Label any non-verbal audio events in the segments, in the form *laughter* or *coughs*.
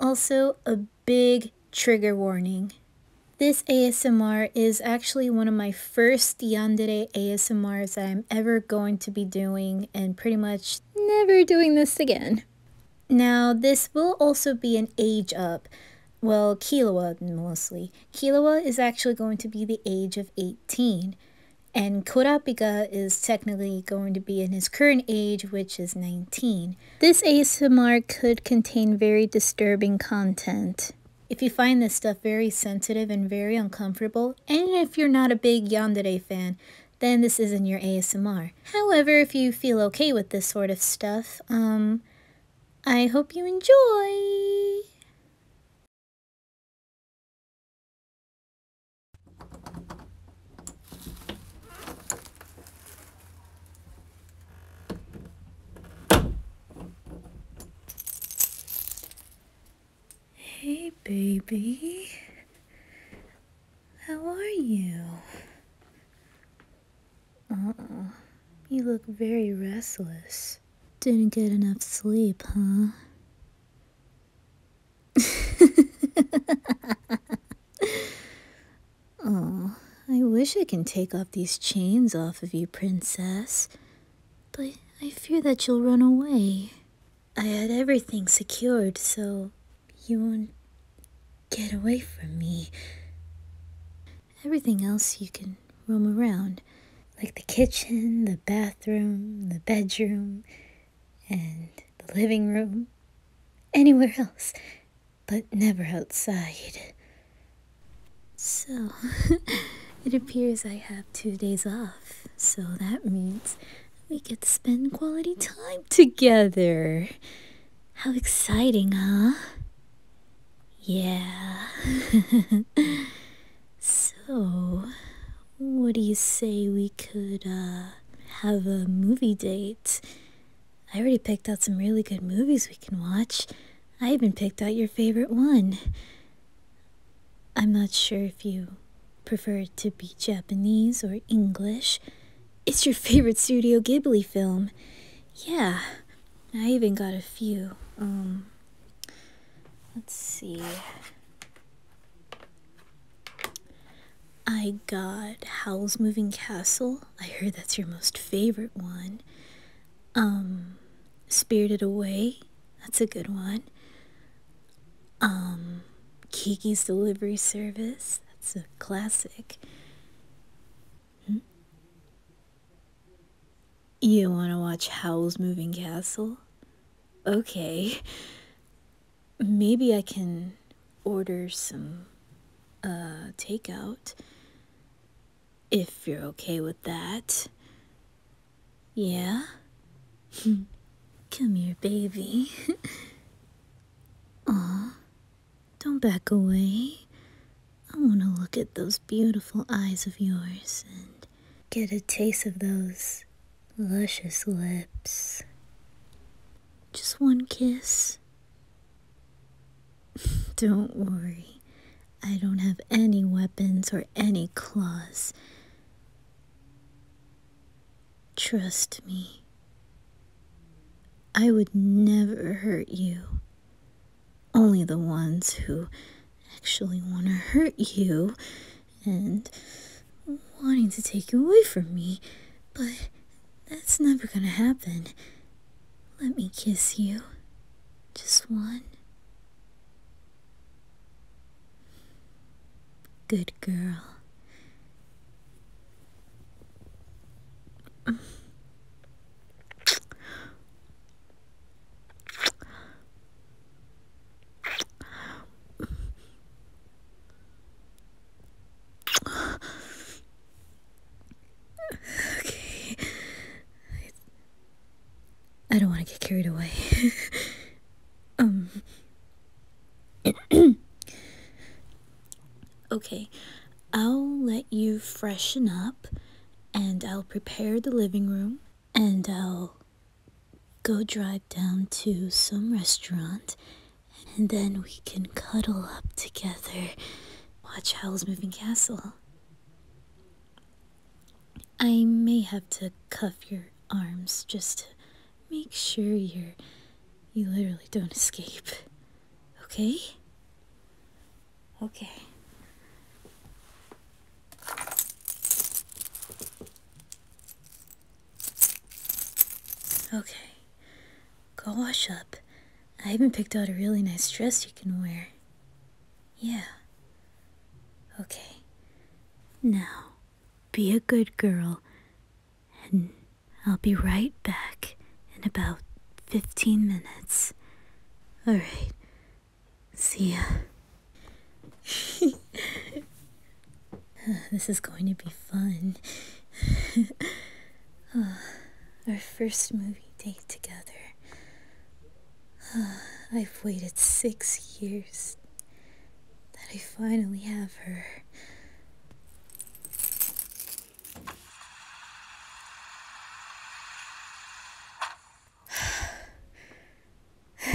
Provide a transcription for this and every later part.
also, a big trigger warning. This ASMR is actually one of my first Yandere ASMRs that I'm ever going to be doing and pretty much never doing this again. Now, this will also be an age up. Well, Kilowa mostly. Kilowa is actually going to be the age of 18, and Kurapika is technically going to be in his current age, which is 19. This ASMR could contain very disturbing content. If you find this stuff very sensitive and very uncomfortable, and if you're not a big Yandere fan, then this isn't your ASMR. However, if you feel okay with this sort of stuff, um, I hope you enjoy! Hey, baby. How are you? Uh-uh. You look very restless. Didn't get enough sleep, huh? oh, *laughs* I wish I can take off these chains off of you, princess. But I fear that you'll run away. I had everything secured, so you won't get away from me. Everything else you can roam around, like the kitchen, the bathroom, the bedroom and the living room, anywhere else, but never outside. So, *laughs* it appears I have two days off, so that means we could spend quality time together. How exciting, huh? Yeah. *laughs* so, what do you say we could, uh, have a movie date. I already picked out some really good movies we can watch. I even picked out your favorite one. I'm not sure if you prefer it to be Japanese or English. It's your favorite Studio Ghibli film. Yeah, I even got a few. Um, let's see. I got Howl's Moving Castle. I heard that's your most favorite one. Um, Spirited Away. That's a good one. Um, Kiki's Delivery Service. That's a classic. Hmm? You want to watch Howl's Moving Castle? Okay maybe I can order some uh, takeout if you're okay with that. Yeah? *laughs* Come here, baby. *laughs* Aw, don't back away. I want to look at those beautiful eyes of yours and get a taste of those luscious lips. Just one kiss. *laughs* don't worry, I don't have any weapons or any claws. Trust me. I would never hurt you. Only the ones who actually want to hurt you and wanting to take you away from me, but that's never gonna happen. Let me kiss you. Just one. Good girl okay. I, I don't want to get carried away. *laughs* um. *coughs* okay. I'll let you freshen up and I'll prepare the living room and I'll go drive down to some restaurant and then we can cuddle up together. Watch Howl's Moving Castle. I may have to cuff your arms just to make sure you're. you literally don't escape. Okay? Okay. Okay, go wash up. I even picked out a really nice dress you can wear. Yeah. Okay. Now, be a good girl, and I'll be right back in about 15 minutes. Alright. See ya. *laughs* *sighs* this is going to be fun. *sighs* Ah, our first movie date together. Ah, I've waited six years that I finally have her. *sighs*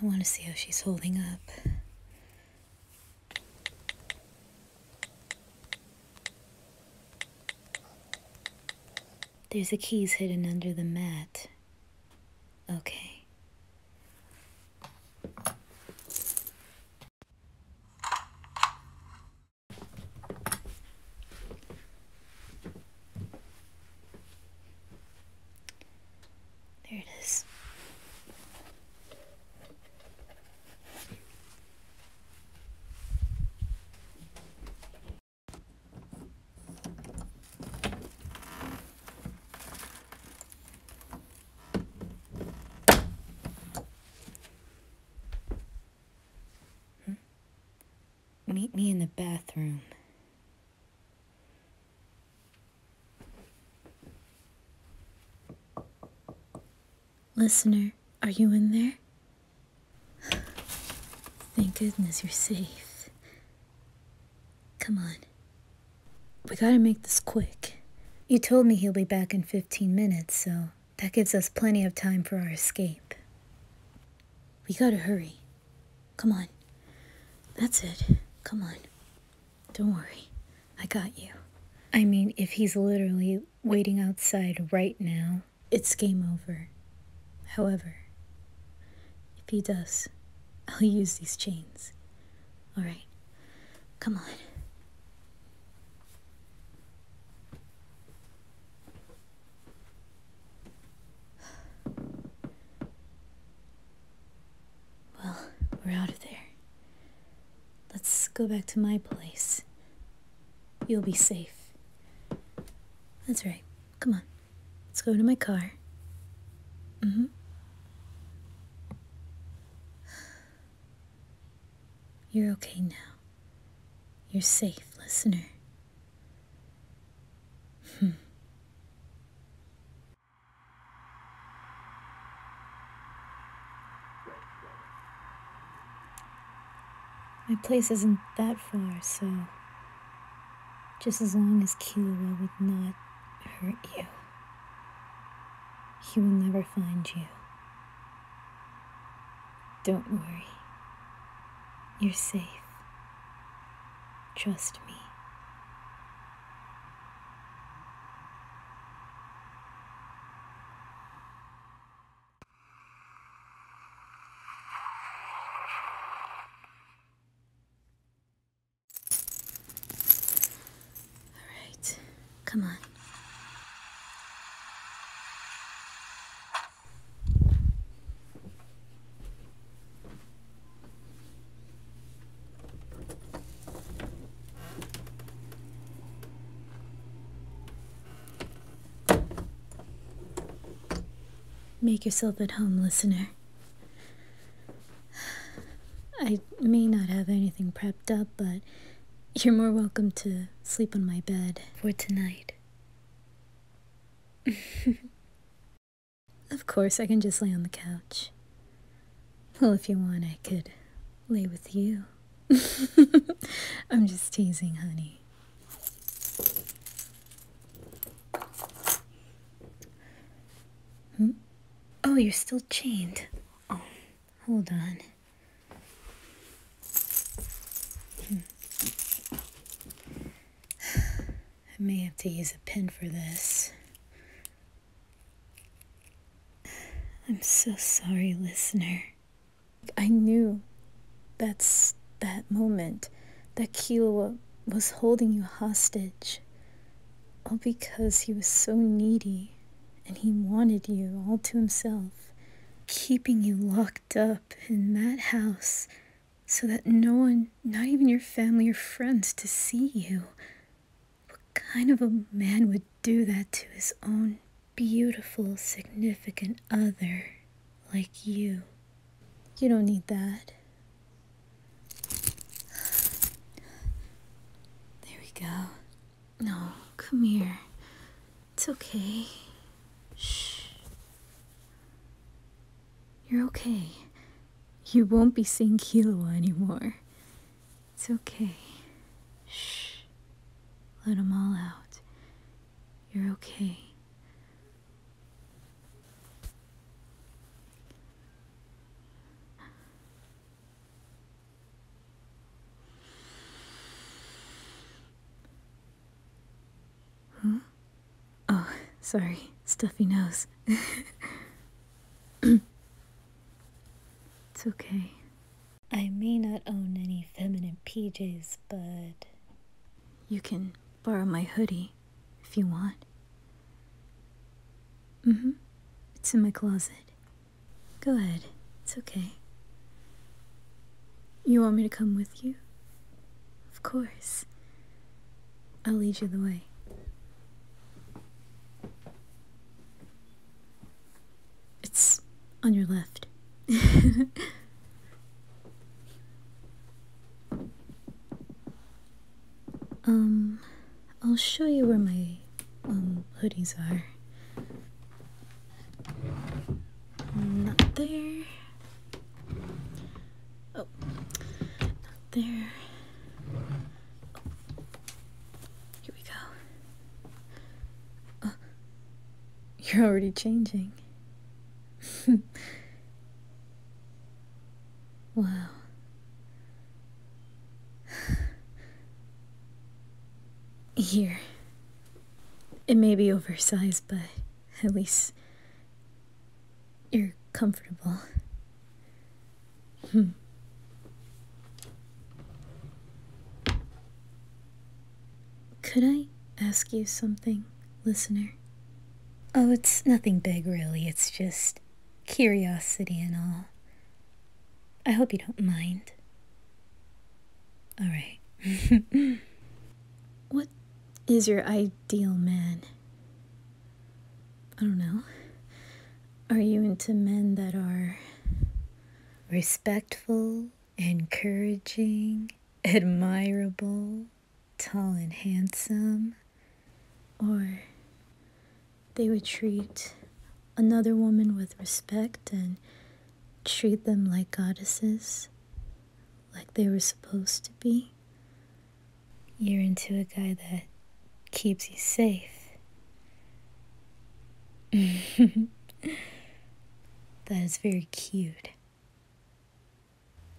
I want to see how she's holding up. There's the keys hidden under the mat. Okay. There it is. Hmm? Meet me in the bathroom. Listener, are you in there? Thank goodness you're safe. Come on. We gotta make this quick. You told me he'll be back in 15 minutes, so that gives us plenty of time for our escape. We gotta hurry. Come on. That's it. Come on. Don't worry. I got you. I mean, if he's literally waiting outside right now, it's game over. However, if he does, I'll use these chains. All right. Come on. Well, we're out of there. Let's go back to my place. You'll be safe. That's right. Come on. Let's go to my car. Mm-hmm. You're okay now. You're safe, listener. Hmm. My place isn't that far, so just as long as Killua would not hurt you, he will never find you. Don't worry. You're safe. Trust me. All right, come on. Make yourself at home, listener. I may not have anything prepped up, but you're more welcome to sleep on my bed for tonight. *laughs* Of course, I can just lay on the couch. Well, if you want, I could lay with you. *laughs* I'm just teasing, honey. Hmm? Oh, you're still chained. Oh, hold on. Hmm. *sighs* I may have to use a pin for this. I'm so sorry, listener. I knew that's that moment that Kilo was holding you hostage. All because he was so needy and he wanted you all to himself, keeping you locked up in that house so that no one, not even your family or friends, to see you. What kind of a man would do that to his own beautiful, significant other like you? You don't need that. There we go. No, come here. It's okay. Shh. You're okay. You won't be seeing Kilo anymore. It's okay. Shh. Let them all out. You're okay. Huh? Oh, sorry. Stuffy nose. *clears throat* It's okay. I may not own any feminine PJs, but. You can borrow my hoodie if you want. Mm hmm. It's in my closet. Go ahead. It's okay. You want me to come with you? Of course. I'll lead you the way. It's on your left. *laughs* um, I'll show you where my um hoodies are. Not there. Oh, not there. Here we go. Uh, you're already changing. *laughs* wow. *sighs* Here. It may be oversized, but at least you're comfortable. Could I ask you something, listener? Oh, it's nothing big, really. It's just curiosity and all. I hope you don't mind. All right. *laughs* what is your ideal man? I don't know. Are you into men that are respectful, encouraging, admirable, tall and handsome? Or they would treat another woman with respect and treat them like goddesses, like they were supposed to be? you're into a guy that keeps you safe. *laughs* that is very cute.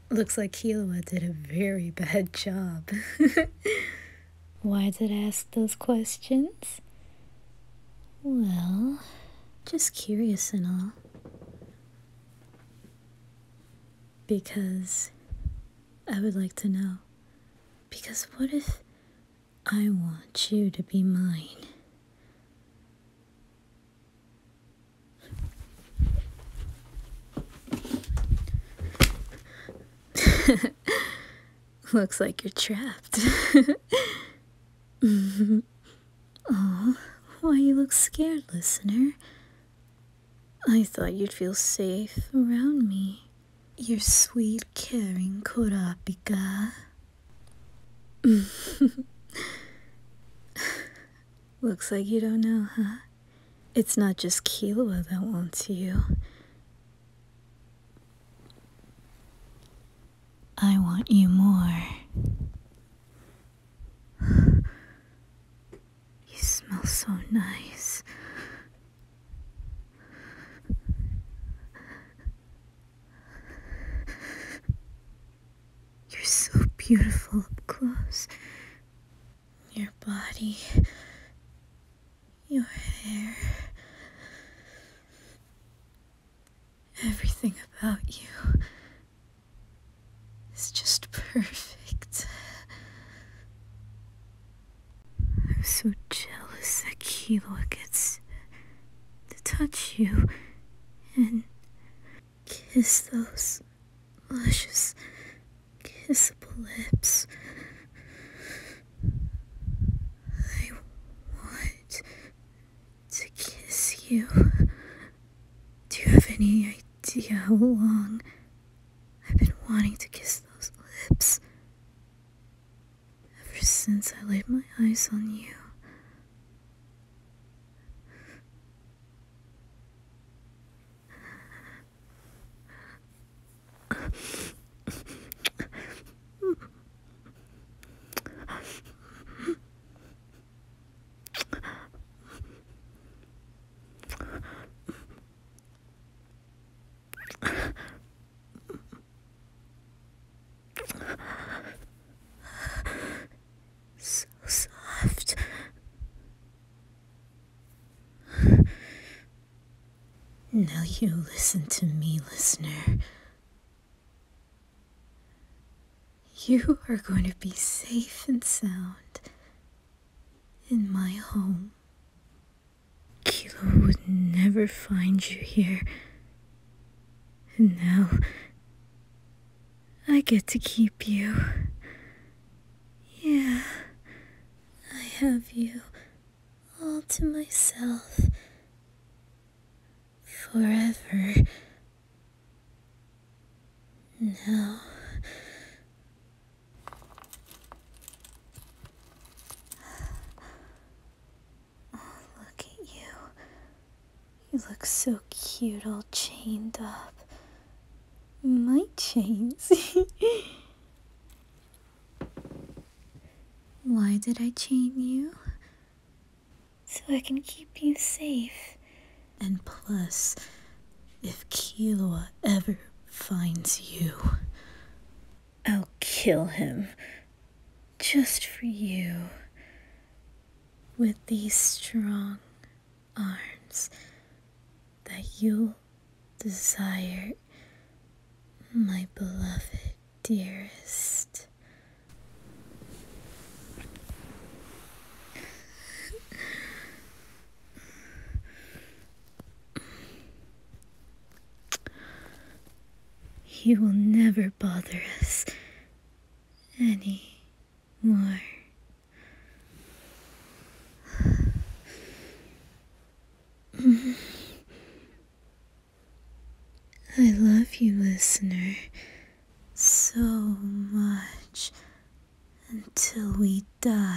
Looks like Kiowa did a very bad job. *laughs* Why did I ask those questions? Well, just curious and all. Because I would like to know because what if I want you to be mine? *laughs* Looks like you're trapped. *laughs* Aw, why you look scared, listener? I thought you'd feel safe around me. Your sweet, caring Kurapika. *laughs* Looks like you don't know, huh? It's not just Killua that wants you. I want you more. *sighs* you smell so nice. You're so beautiful up close. Your body, your hair, everything about you is just perfect. I'm so jealous that Kilo gets to touch you and kiss those luscious, kissable lips. I want to kiss you. Do you have any idea how long I've been wanting to kiss those lips ever since I laid my eyes on you so soft. Now you listen to me, listener. You are going to be safe and sound in my home. Kilo would never find you here. And now, I get to keep you. Yeah, I have you all to myself. Forever. Now, *sighs* look at you. You look so cute, all chained up. My chains. *laughs* Why did I chain you? So I can keep you safe. And plus, if Kilo ever finds you, I'll kill him just for you. With these strong arms that you desire, my beloved dearest. You will never bother us anymore. I love you, listener, so much until we die.